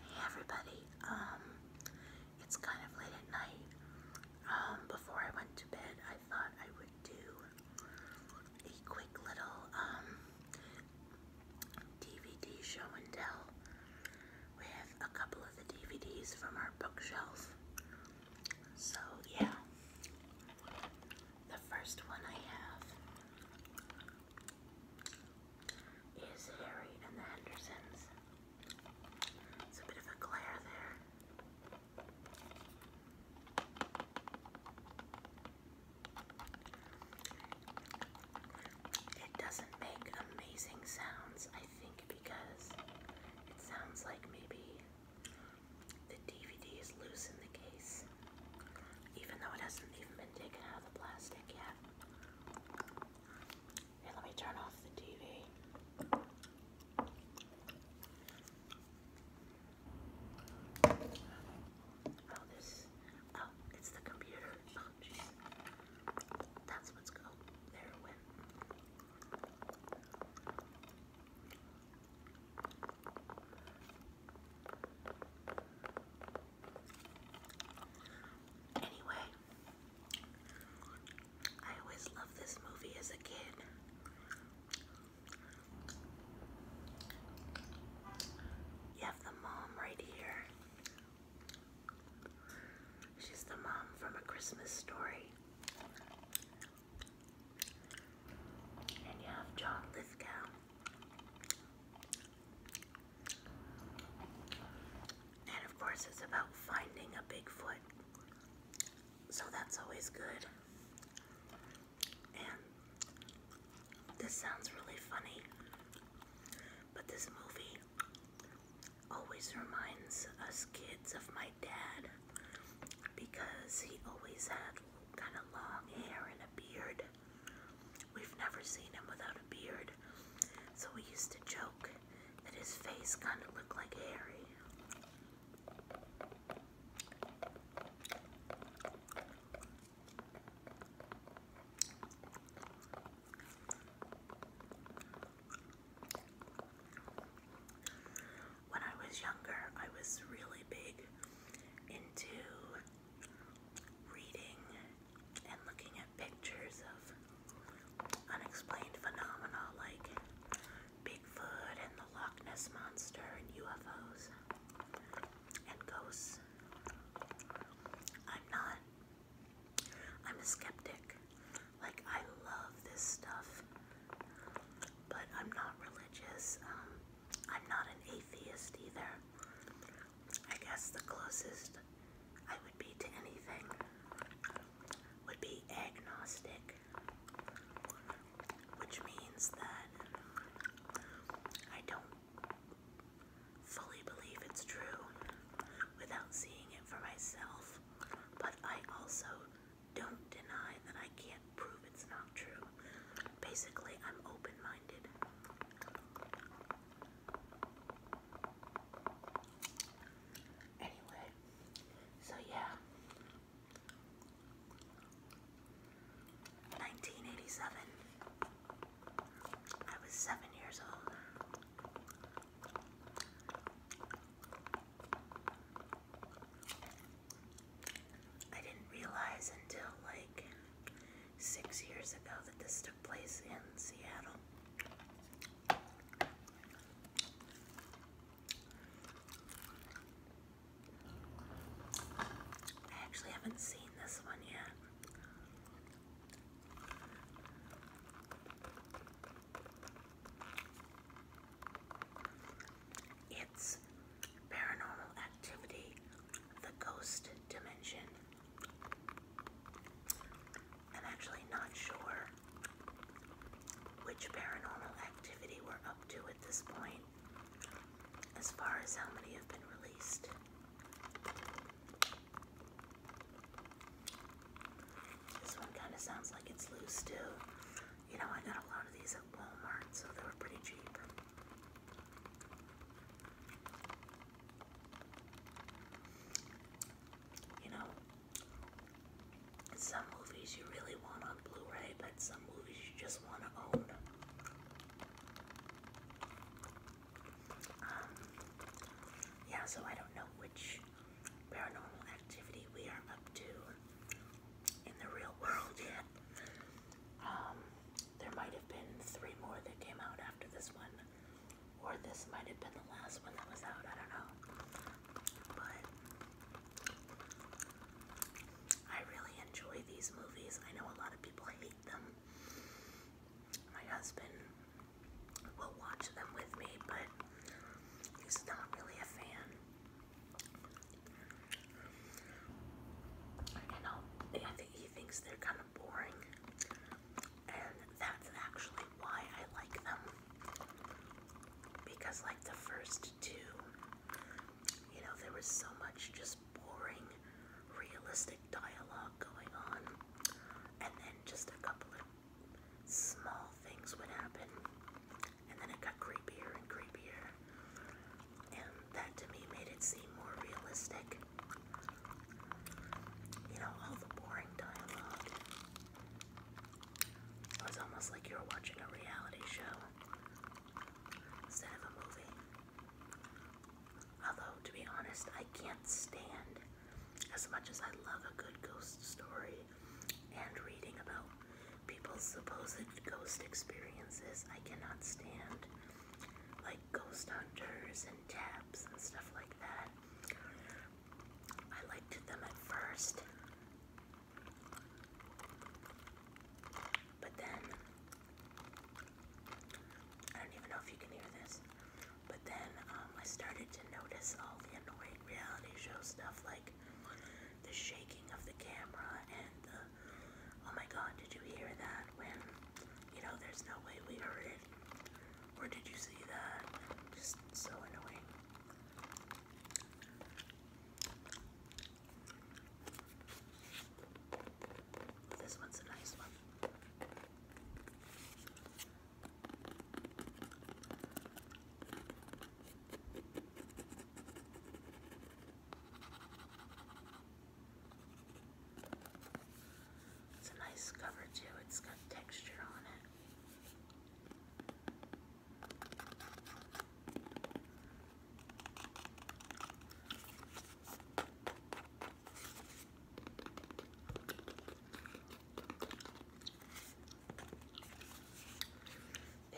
Hey everybody, um, it's kind of late at night. Um, before I went to bed, I thought I would do a quick little, um, DVD show and tell with a couple of the DVDs from our bookshelf. So, yeah. The first one I have is Harry and the Hendersons. It's a bit of a glare there. It doesn't make amazing sounds, I think, because it sounds like maybe the DVD is loose in the case. Even though it hasn't even been taken out of the plastic yet. Here, let me turn off the TV. Oh, this. Oh, it's the computer. Oh, jeez. That's what's going. there Anyway, I always loved this movie as a kid. You have the mom right here. She's the mom from A Christmas Story. And you have John Lithgow. And of course, it's about finding a Bigfoot. So that's always good. And this sounds really funny, but this movie always reminds us kids of my dad because he always had kind of long hair and a beard. We've never seen him without a beard, so we used to joke that his face kind of looked like Harry. When I was younger, I was really big into reading and looking at pictures of unexplained phenomena like Bigfoot and the Loch Ness Monster and UFOs and ghosts. I'm not. I'm a skeptic. Like, I love this stuff, but I'm not religious. Um, I'm not an atheist either. I guess the closest I would be to anything would be agnostic, which means that I don't fully believe it's true without seeing it for myself, but I also don't deny that I can't prove it's not true. Basically, I'm open minded. Anyway, so yeah. 1987. I was seven years old. I didn't realize until like six years ago that this took place in Seattle. I actually haven't seen this one yet. It's Paranormal Activity, The Ghost Dimension. I'm actually not sure which paranormal activity we're up to at this point, as far as how many have been released. This one kind of sounds like it's loose, too. You know, I got a lot of these at Walmart, so they were pretty cheap. You know, some movies you really want on Blu ray, but some movies you just want to own. Um, yeah, so I don't know which paranormal activity we are up to in the real world yet. Um, there might have been three more that came out after this one, or this might have been the last one that was out. I don't know. But I really enjoy these movies. I know a lot of people hate them. My husband will watch them with me, but he's not really a fan. I'll, I he thinks they're kind of boring, and that's actually why I like them. Because, like the first two, you know, there was so much just boring, realistic dialogue going on, and then just a couple of small things would happen, and then it got creepier and creepier and that to me made it seem more realistic. You know, all the boring dialogue. It was almost like you were watching a reality show instead of a movie. Although, to be honest, I can't stand, as much as I love a good ghost story and reading about people's supposed ghost experiences, I cannot stand like ghost hunters and tabs and stuff like that. I liked them at first, but then I don't even know if you can hear this. But then um, I started to notice all the annoying reality show stuff, like the shaking of the camera and the oh my god, did you hear that? that when, you know, there's no way we heard it? Or did you see that? Just so annoying. This one's a nice one. It's a nice cover too, it's got texture on it.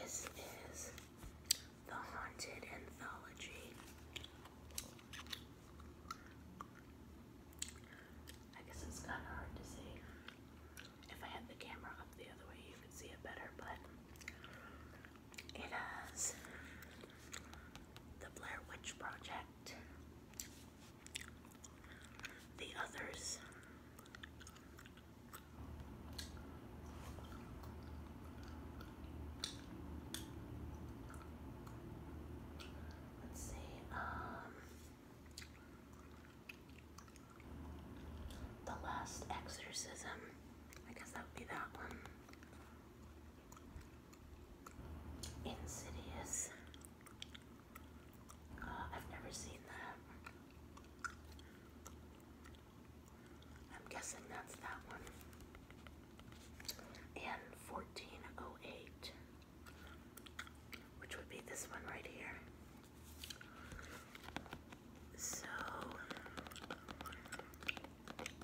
This is The Haunted Anthology I guess it's kind of hard to see. If I had the camera up the other way, you could see it better, but it has the Blair Witch Project, the others. Let's see. Um, the last exorcism. I guess that would be that one. Insidious. Uh, I've never seen that. I'm guessing that's that one and 1408, which would be this one right here. So,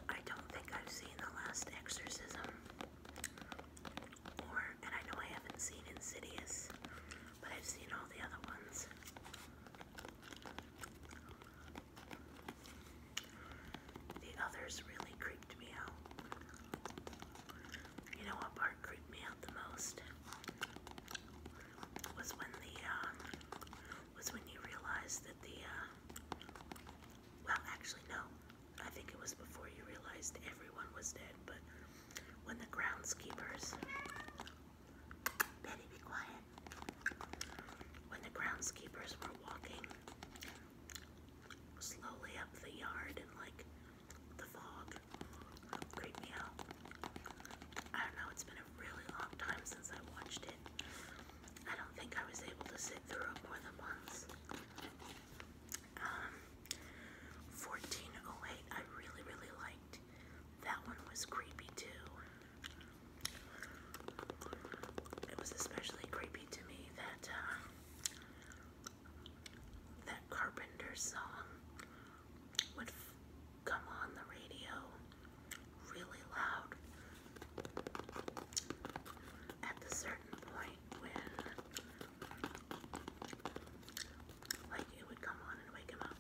I don't think I've seen The Last Exorcism, or, and I know I haven't seen Insidious, but I've seen all the other ones. The others really creeped me out. You know what part creeped me out the most? Was when the um, was when you realized that the uh, well, actually no, I think it was before you realized everyone was dead. But when the groundskeepers, Betty, be quiet. When the groundskeepers were walking slowly up the yard and like the fog creeped out. I don't know, it's been a really long time since I watched it. I don't think I was able to sit through it more than once. Um, 1408, I really, really liked. That one was creepy too. It was especially creepy to me that uh, that Carpenter song would f come on the radio really loud at the certain point when like it would come on and wake him up.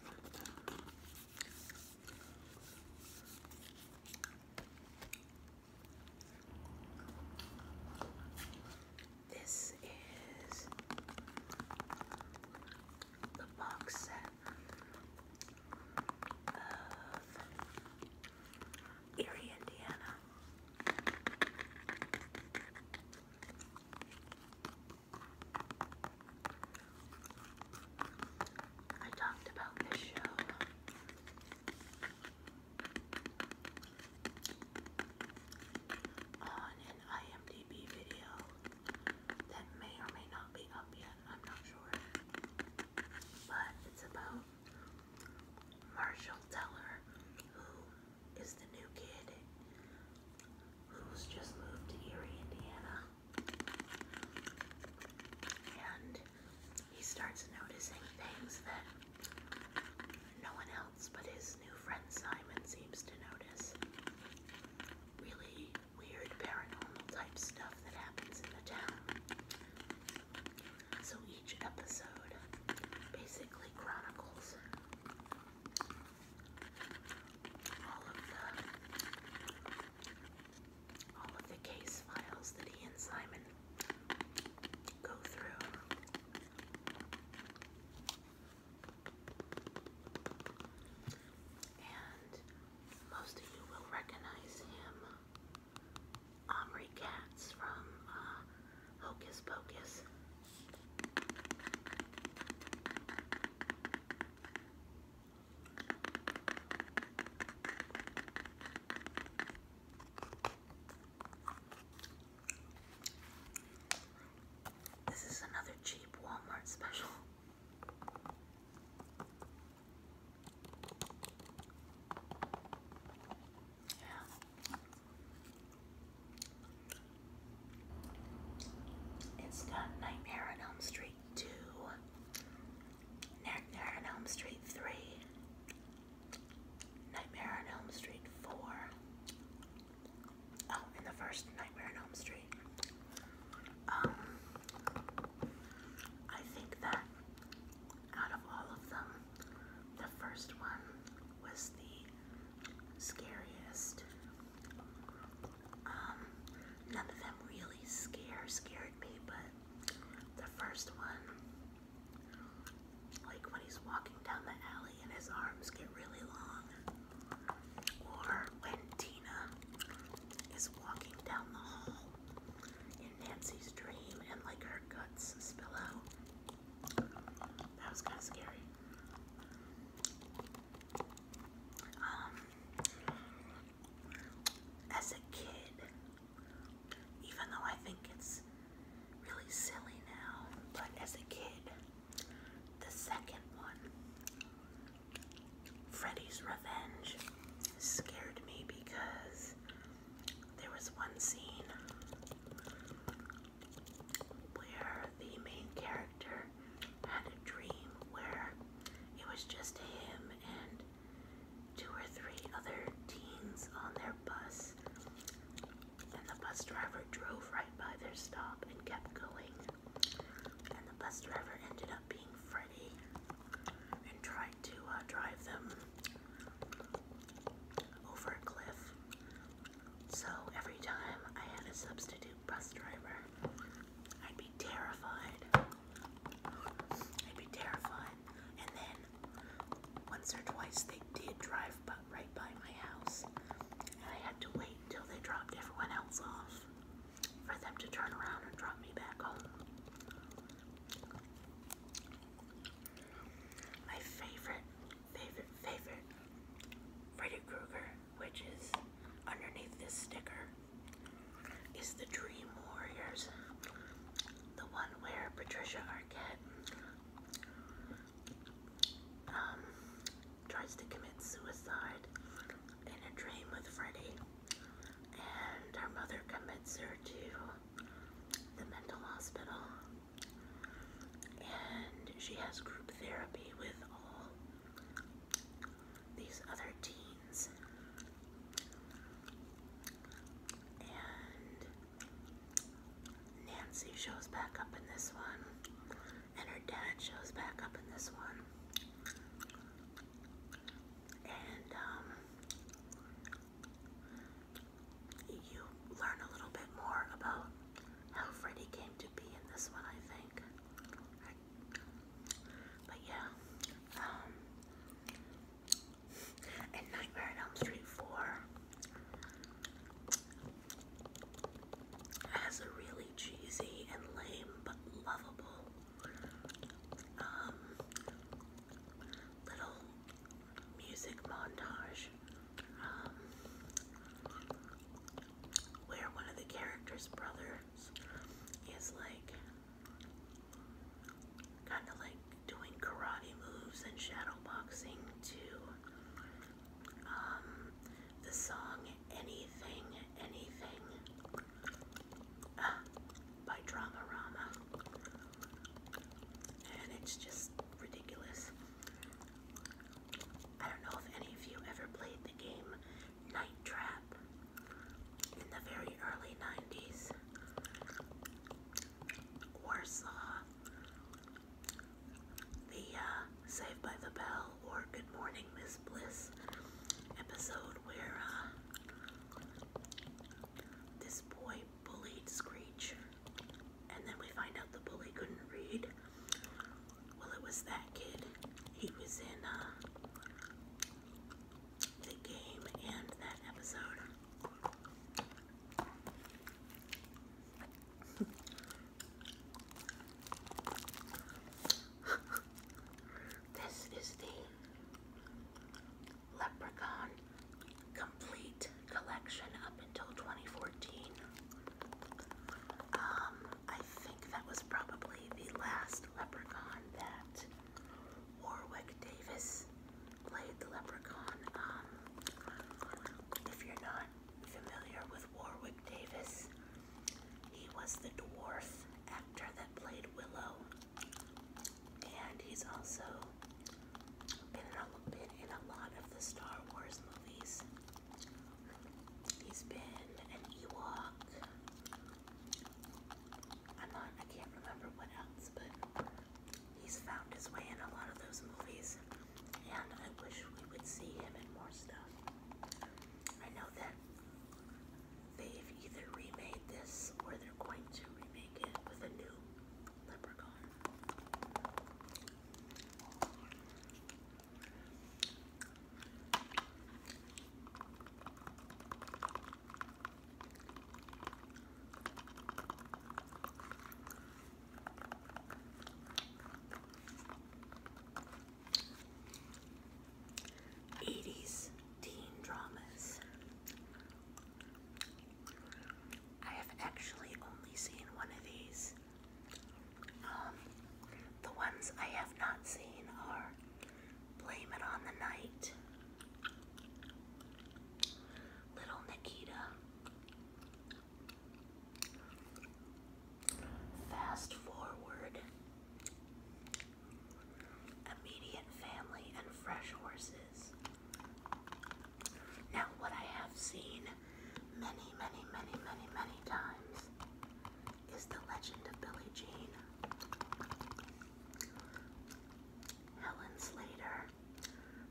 This is the box set of Erie, Indiana. I talked about this show on an IMDb video that may or may not be up yet, I'm not sure. But it's about Marshall Teller, who is the new kid who's just moved to Erie, Indiana. And he starts noticing things that no one else but his new friend Simon seems to notice. Really weird paranormal type stuff that happens in the town. So each episode basically chronicles all of the all of the case files that he and Simon go through. And most of you will recognize him, Omri Katz from uh, Hocus Pocus. This is another cheap Walmart special. Yeah. It's got Nightmare on Elm Street 2. Nightmare on Elm Street 3, Nightmare on Elm Street 4. Oh, in the first Nightmare on Elm Street. Um, I think that out of all of them, the first one was the scariest. Um, none of them really scare scared me, but the first one like when he's walking down the alley and his arms get really long. Or when Tina is walking down the hall in Nancy's dream and like her guts spill out. That was kind of scary. Um, as a kid, even though I think it's really silly now, but as a kid, the second one, Freddy's Revenge, scared me because there was one scene where the main character had a dream where it was just him and two or three other teens on their bus, and the bus driver drove right by their stop and kept going. And the bus driver ended up being Freddy and tried to uh, drive them over a cliff. So every time I had a substitute bus driver, I'd be terrified. I'd be terrified. And then once or twice they did drive by, right by my house, and I had to wait until they dropped everyone else off for them to turn around and drop me back home. My favorite, favorite, favorite Freddy Krueger, which is underneath this sticker, is the Dream Warriors the one where Patricia Arquette um, tries to commit suicide in a dream with Freddy, and her mother commits her to the mental hospital, and she has group therapy with all these other teens. And Nancy shows back up in this one, and her dad shows back up in this one. And um, you learn a little bit more about how Freddy came to be in this one, I think. But yeah, um, and Nightmare on Elm Street 4 has a really cheesy and lame but lovable um, little music montage um, where one of the characters' brothers is like kind of like doing karate moves and shadowboxing boxing to um, the song Anything, Anything uh, by Dramarama. And it's just ridiculous. I don't know if any of you ever played the game Night Trap in the very early 90s. Warsaw, the uh, Saved by the Bell or Good Morning Miss Bliss episode where uh, this boy bullied Screech and then we find out the bully couldn't read. Well, it was that kid. He was in uh, the game and that episode. this is the Leprechaun complete collection up until 2014. Um, I think that was probably the last Leprechaun that Warwick Davis played the leprechaun. Um, if you're not familiar with Warwick Davis, he was the dwarf actor that played Willow, and he's also been in a lot of the Star Wars movies. He's been an Ewok. I'm not, I can't remember what else, but he's found his way in a lot of those movies, and I wish we would see him in more stuff. I know that they've either remade this or they're going to remake it with a new leprechaun. 80s teen dramas. I have actually only seen one of these. Um, the ones I have not seen are Blame It on the Night Little Nikita. Fast forward. Immediate family and fresh horses. Now, what I have seen many, many, many, many, many times is the legend of Billie Jean. Helen Slater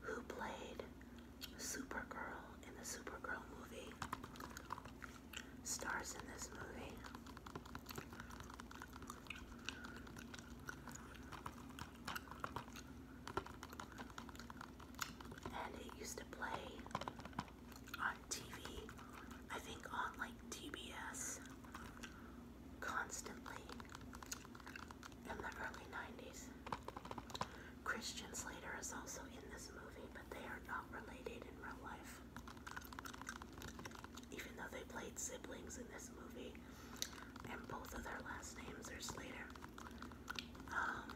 who played Supergirl in the Supergirl movie, stars in this movie. And it used to play on TV, I think on like TBS constantly in the early 90s. Christian Slater is also in this movie, but they are not related in real life. Even though they played siblings in this movie, and both of their last names are Slater. Um,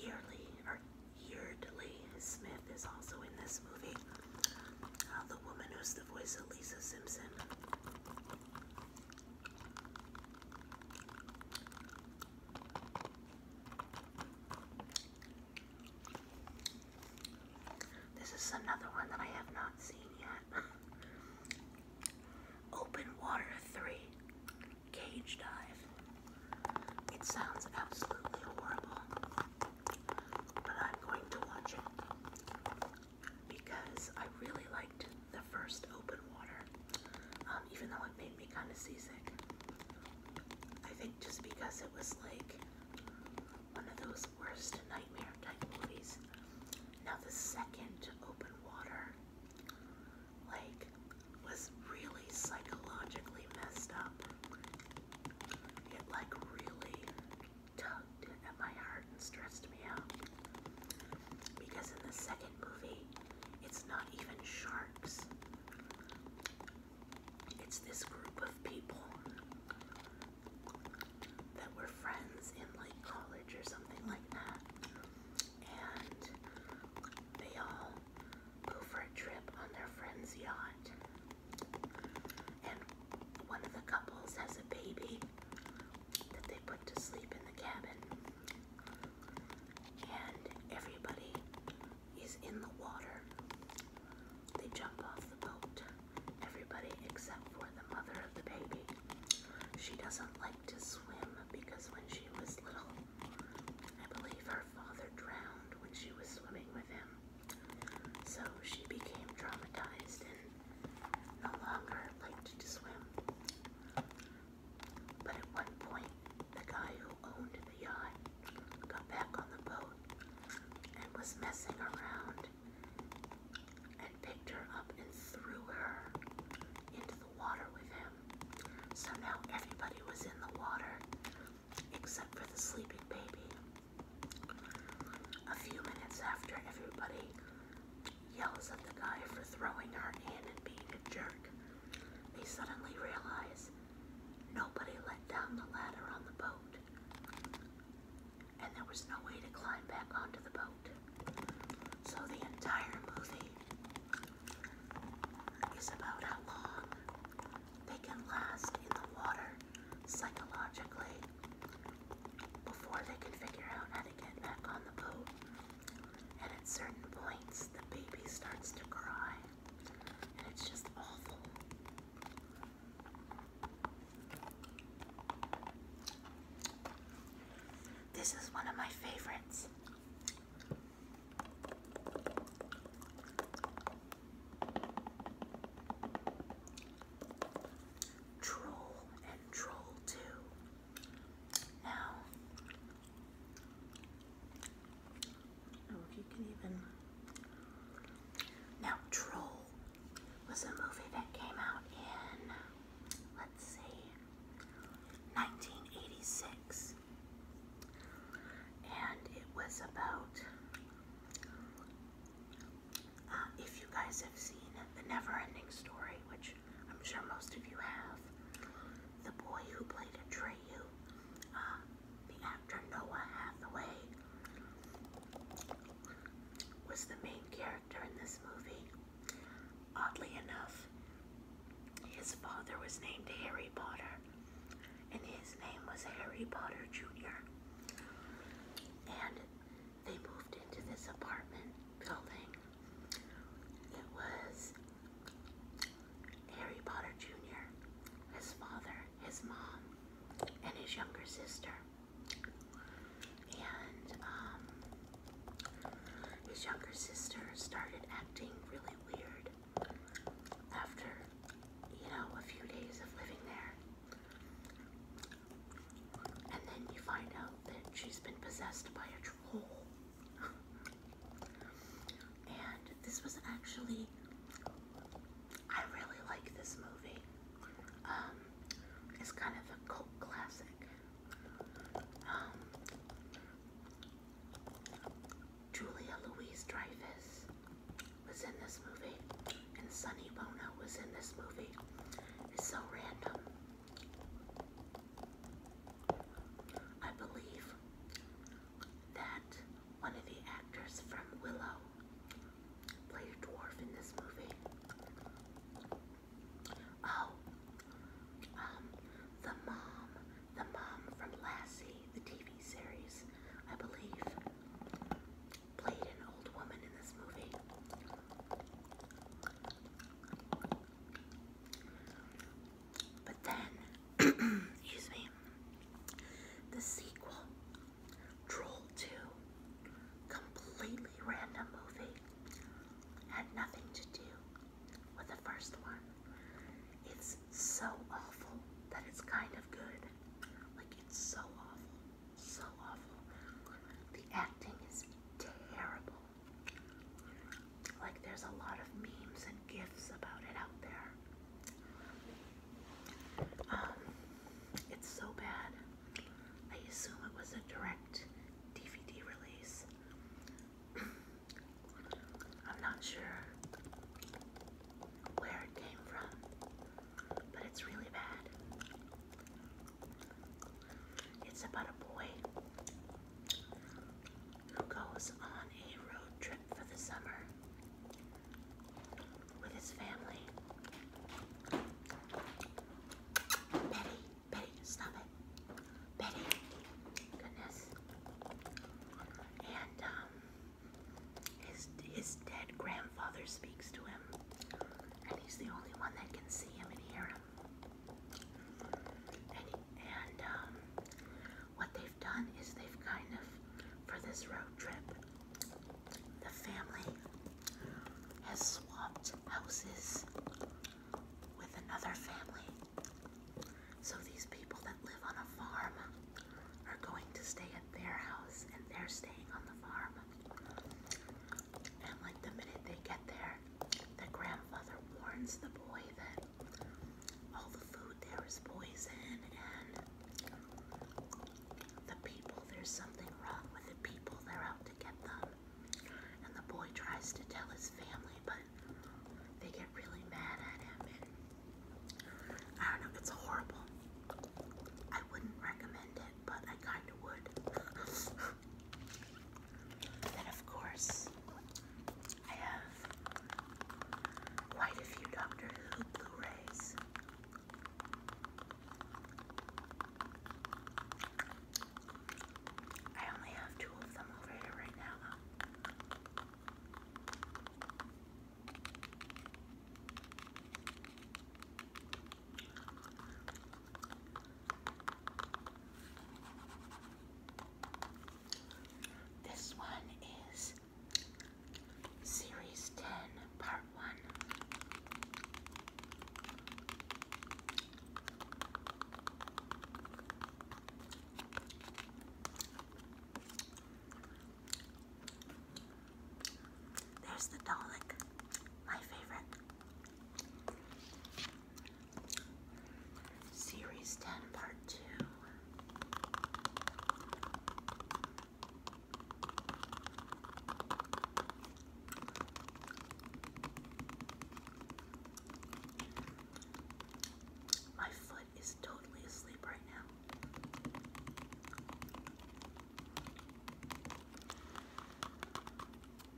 yearly or Yeardley Smith is also in this movie. Uh, the woman who's the voice of Lisa Simpson. This is another one that I have not seen yet. Open Water 3 Cage Dive. It sounds absolutely horrible, but I'm going to watch it because I really liked the first open water, um, even though it made me kind of seasick. I think just because it was like one of those worst nightmare type movies. Now the second open water, like, was really psychologically messed up. It like really tugged at my heart and stressed me out. Because in the second movie, it's not even sharks, it's this group of people that were friends in like college or something like that. And they all go for a trip on their friend's yacht. And one of the couples has a baby, that they put to sleep in the cabin. And everybody is in the water. They jump off the boat. Everybody except for the mother of the baby. She doesn't like to swim because when she was little, I believe her father drowned when she was swimming with him. So she became traumatized no longer liked to swim. But at one point, the guy who owned the yacht got back on the boat and was messing around and picked her up and threw her into the water with him. So now everybody was in the water except for the sleeping baby. A few minutes after everybody yells at the guy for throwing her in and being a jerk. They suddenly realize nobody let down the ladder on the boat, and there was no way to climb back onto the boat. So the entire movie is about how long they can last in the water psychologically before they could figure out how to get back on the boat. And at certain points, the baby starts to cry, and it's just awful. This is one of my favorites. Troll and Troll 2. Now, Now, Troll was a movie that came out in, let's see, 1986. And it was about um, if you guys have seen The Neverending Story, which I'm sure most of you have, the boy who played Atreyu, uh, the actor Noah Hathaway, was the main character in this movie. Oddly enough, his father was named Harry Potter, and his name was Harry Potter Jr. And they moved into this apartment building, it was Harry Potter Jr., his father, his mom, and his younger sister. And um, his younger sister started acting really weird after, you know, a few days of living there. And then you find out that she's been possessed by a troll. and this was actually, I really like this movie. Um, it's kind of a cult classic. Um, Julia Louise Dreyfus was in this movie, and Sunny Bono was in this movie. It's so random. I believe that one of the actors from Willow played a dwarf in this movie. Oh, um, the mom, the mom from Lassie, the TV series, I believe played an old woman in this movie. But then, excuse me, the sequel, Troll 2, completely random movie, had nothing to do with the first one. It's so awful that it's kind of good. Like, it's so awful so awful. The acting is terrible. Like, there's a lot of memes and gifs about it out there. Um, it's so bad. I assume it was a direct DVD release. I'm not sure where it came from, but it's really bad. It's about a boy who goes on a road trip for the summer with his family. Betty, Betty, stop it. Betty, goodness. And um, his, his dead grandfather speaks to him and he's the only one that can see him and hear him. And, um, what they've done is they've kind of, for this road trip, the family has swapped houses with another family. So these people that live on a farm are going to stay at their house and they're staying on the farm. And like the minute they get there, the grandfather warns the boy that all the food there is poison and the people, there's something wrong with the people, they're out to get them. And the boy tries to tell his family, but they get really mad at him. And I don't know, it's horrible. I wouldn't recommend it, but I kind of would. Then, of course, I have quite a few Doctor Who Blu rays. I only have two of them over here right now. This one is Series 10, Part 1. There's the Dalek, my favorite. Series 10, Part 2. My foot is totally asleep right now.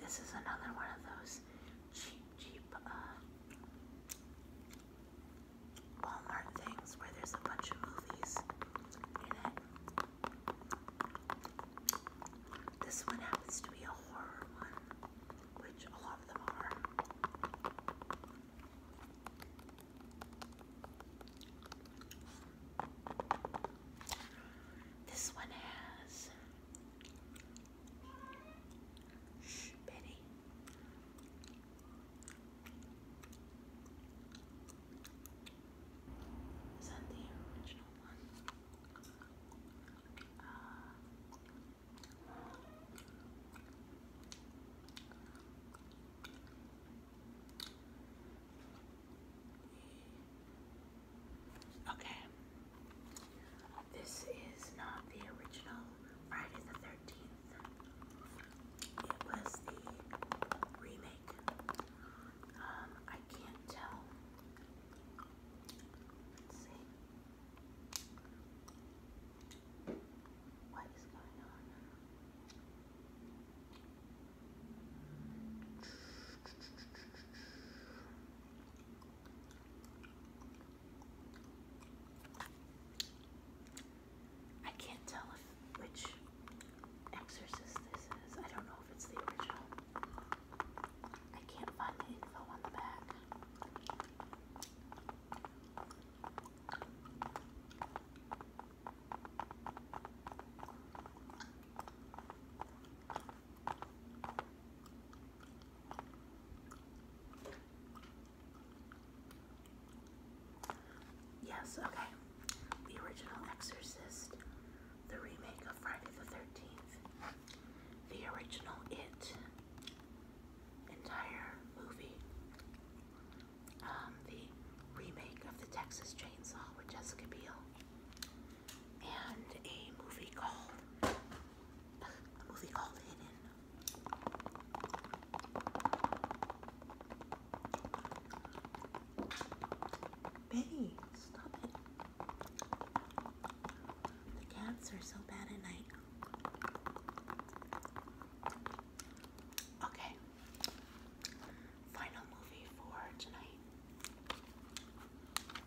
This is another one of those cheap, cheap uh, Walmart things where there's a bunch of movies This one happens to be a horror one, which a lot of them are. This one has Shh, Benny. Is that the original one? Uh, we Okay. This is not the original Friday the 13th. It was the remake. Um, I can't tell. What is going on? I can't tell which exorcist this is. I don't know if it's the original. I can't find info on the back. Yes, okay. The original Exorcist, the remake of Friday the 13th, the original It, entire movie, um, the remake of the Texas Chainsaw with Jessica Biel, and a movie called a movie called Hidden. Betty, stop it. The cats are so bad at night. Okay. Final movie for tonight.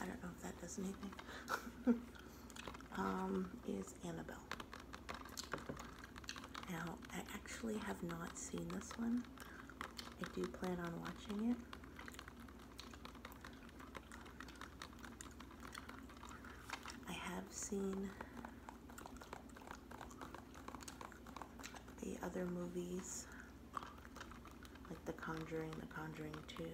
I don't know if that does anything, um, is Annabelle. Now, I actually have not seen this one. I do plan on watching it. I have seen the other movies like The Conjuring, The Conjuring 2.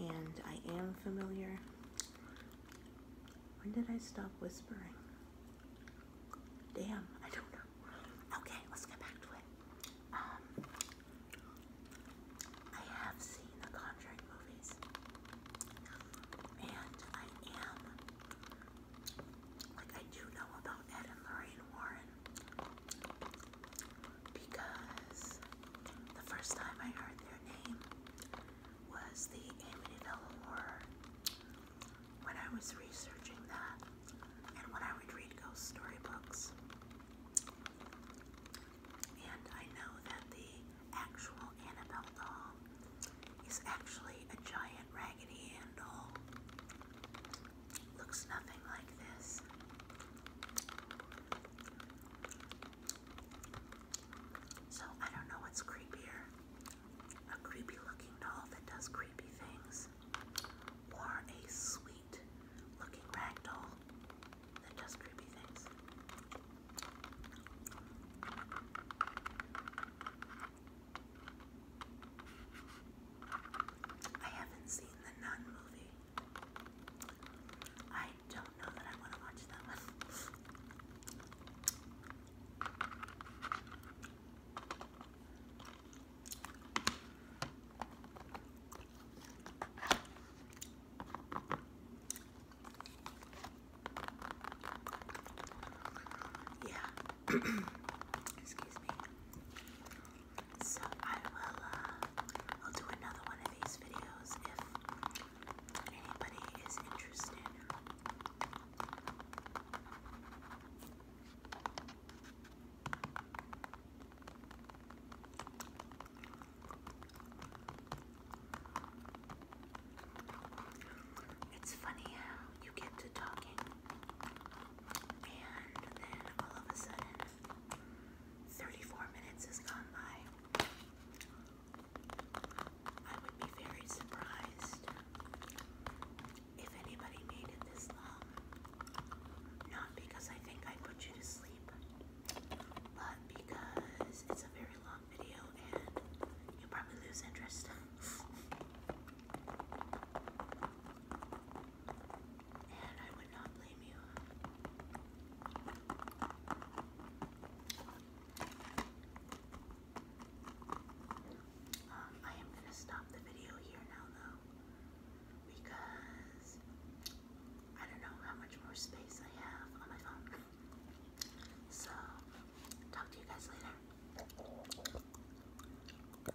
And I am familiar. When did I stop whispering? Damn, I don't know. Okay, let's get back to it. Um, I have seen the Conjuring movies. And I am, like, I do know about Ed and Lorraine Warren because the first time I heard their name was the Amityville Horror when I was researching that and when I would read ghost story books, And I know that the actual Annabelle doll is actually a giant Raggedy Ann Looks nothing like this. So I don't know what's creepier a creepy looking doll that does creepy things, or a sweet looking rag doll that does creepy things. I haven't seen the Nun movie. I don't know that I want to watch that one. Yeah, So I will, uh, I'll do another one of these videos if anybody is interested. It's funny how you get to talking and then all of a sudden, 34 minutes has gone by. I would be very surprised if anybody made it this long. Not because I think I put you to sleep, but because it's a very long video and you'll probably lose interest. I um, I am gonna stop the video here now though because I don't know how much more space I have on my phone. So talk to you guys later.